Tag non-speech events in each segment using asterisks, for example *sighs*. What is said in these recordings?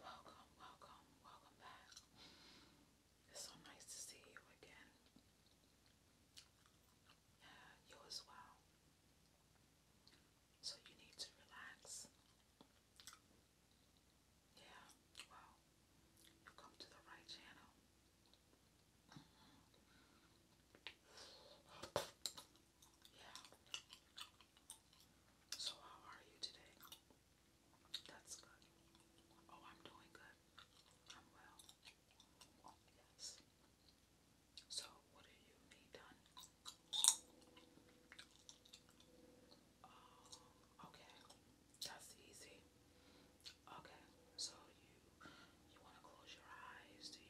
Welcome, welcome, welcome back. It's so nice to see you again. Yeah, you as well. So you need to relax. Yeah, well, you come to the right channel. Mm-hmm. Yeah. So, how are you today? That's good. Oh, I'm doing good. I'm well. Yes. So, what do you done? Oh, okay. That's easy. Okay. So, you you want to close your eyes?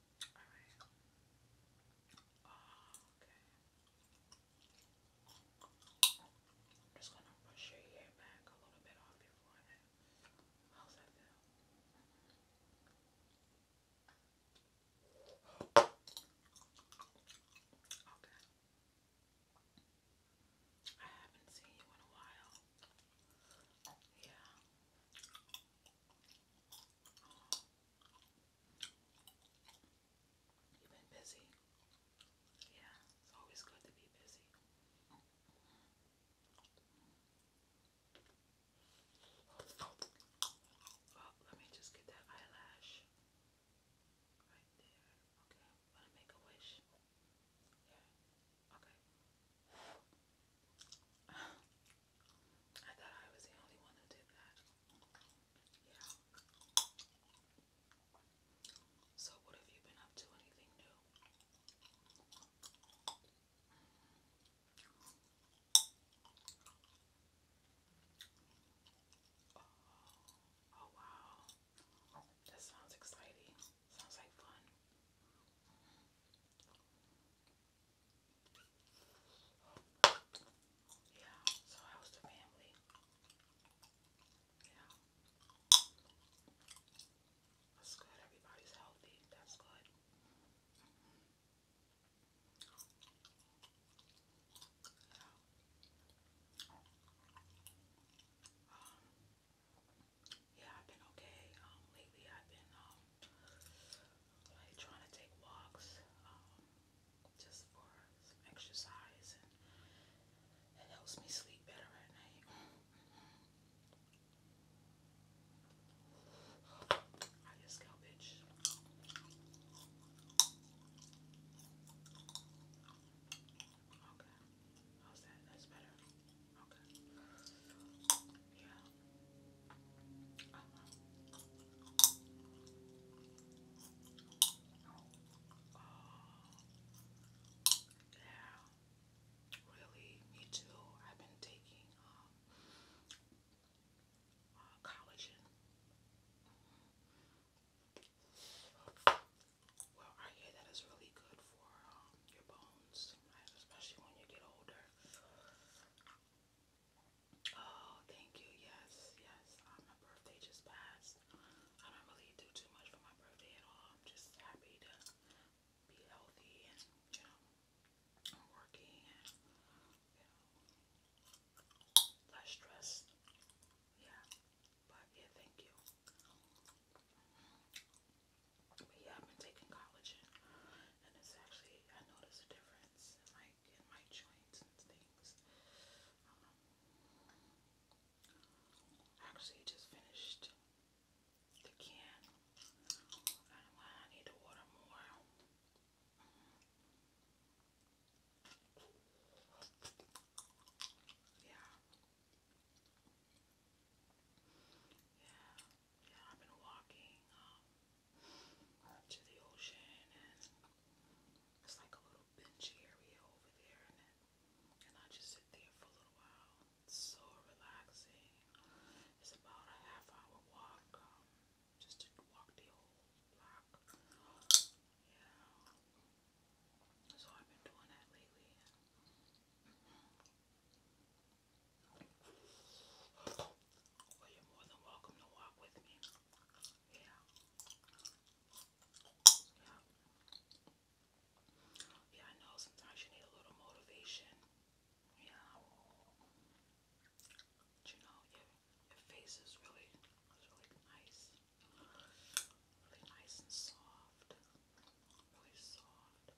Alright. okay. I'm just gonna push your hair back a little bit off your forehead. How's that feel? Okay. I haven't seen you in a while. Yeah. You've been busy? Yeah, it's always good to be busy. Oh, let me just get that eyelash right there. Okay, want to make a wish? Yeah. Okay. *sighs* I thought I was the only one who did that. Yeah. So, what have you been up to? Anything new? Oh, oh wow. That sounds exciting. Sounds like fun. Yeah, so how's the family? Yeah. That's good. Everybody's healthy. That's good yeah, I've been okay. Um, lately I've been um trying to take walks, um, just for some exercise and it helps me sleep better at night. I just go, bitch. Okay. How's that? That's better. Okay. Yeah. Really, me too. I've been taking uh, collagen. Well, I hear that is really good for um, your bones, especially when you get older. Oh, thank you. Yes, yes. Uh, my birthday just passed. I don't really do too much for my birthday at all. I'm just happy to be healthy and, you know, working and, you know, less stress. Yeah. But yeah, thank you. But yeah, I've been taking collagen and it's actually, I noticed a difference in like in my joints and things. Um, I actually just finished the can. I don't know I need to water more. Yeah. Yeah, yeah, I've been walking to the ocean and it's like a little bench area over there and, I just sit there for a little while. It's so relaxing. It's about a half hour walk just to walk the whole block. Yeah. So I've been doing that lately. you Yeah. Yeah. I know sometimes you need a little motivation. Yeah. But you know, your, face is really, really nice. Really nice and soft. Really soft.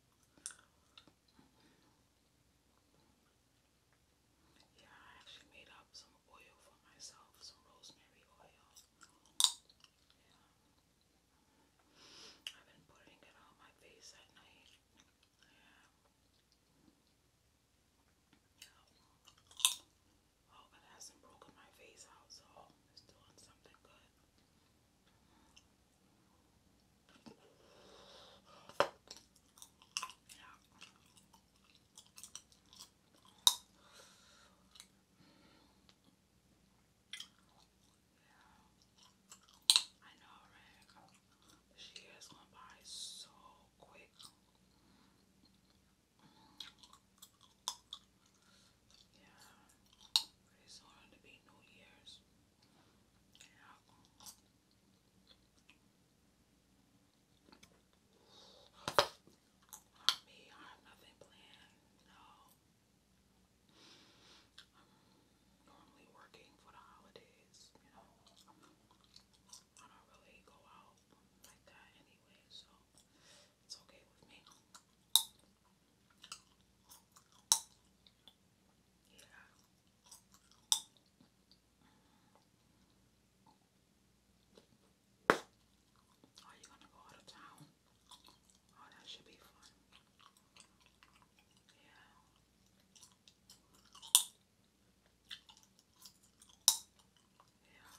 Yeah, I actually made up some oil for myself, some rosemary oil. I've been putting it on my face at night. Yeah. I oh, it hasn't broken my face out, so it's doing something good. Yeah. I know, right? This is going by so quick. Yeah, pretty soon it'll be New Year's. Yeah. me, I have nothing planned. No. I'm normally working for the holidays, you know. I don't really go out like that anyway, so it's okay with me. Yeah. Are you gonna go out of town? Oh, that should be fun. Yeah. Yeah.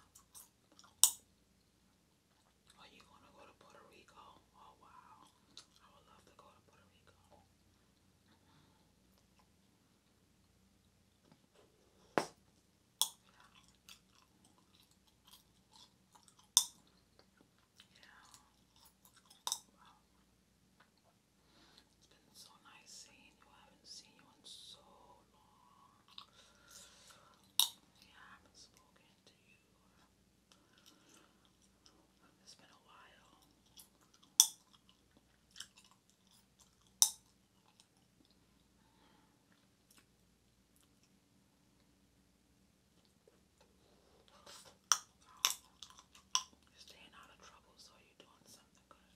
Are you gonna go to Puerto Rico? Oh wow. I would love to go to Puerto Rico. Yeah. Wow. It's been so nice seeing you. I haven't seen you in so long. Yeah, I haven't spoken to you. It's been a while. staying out of trouble, so you're doing something good.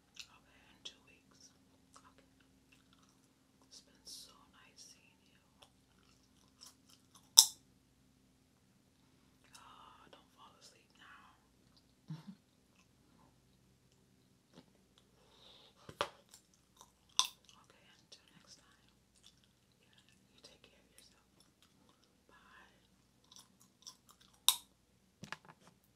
Okay, in two weeks. Okay. It's been so nice seeing you. Oh, don't fall asleep now. okay, until next time. Yeah, you take care of yourself. Bye.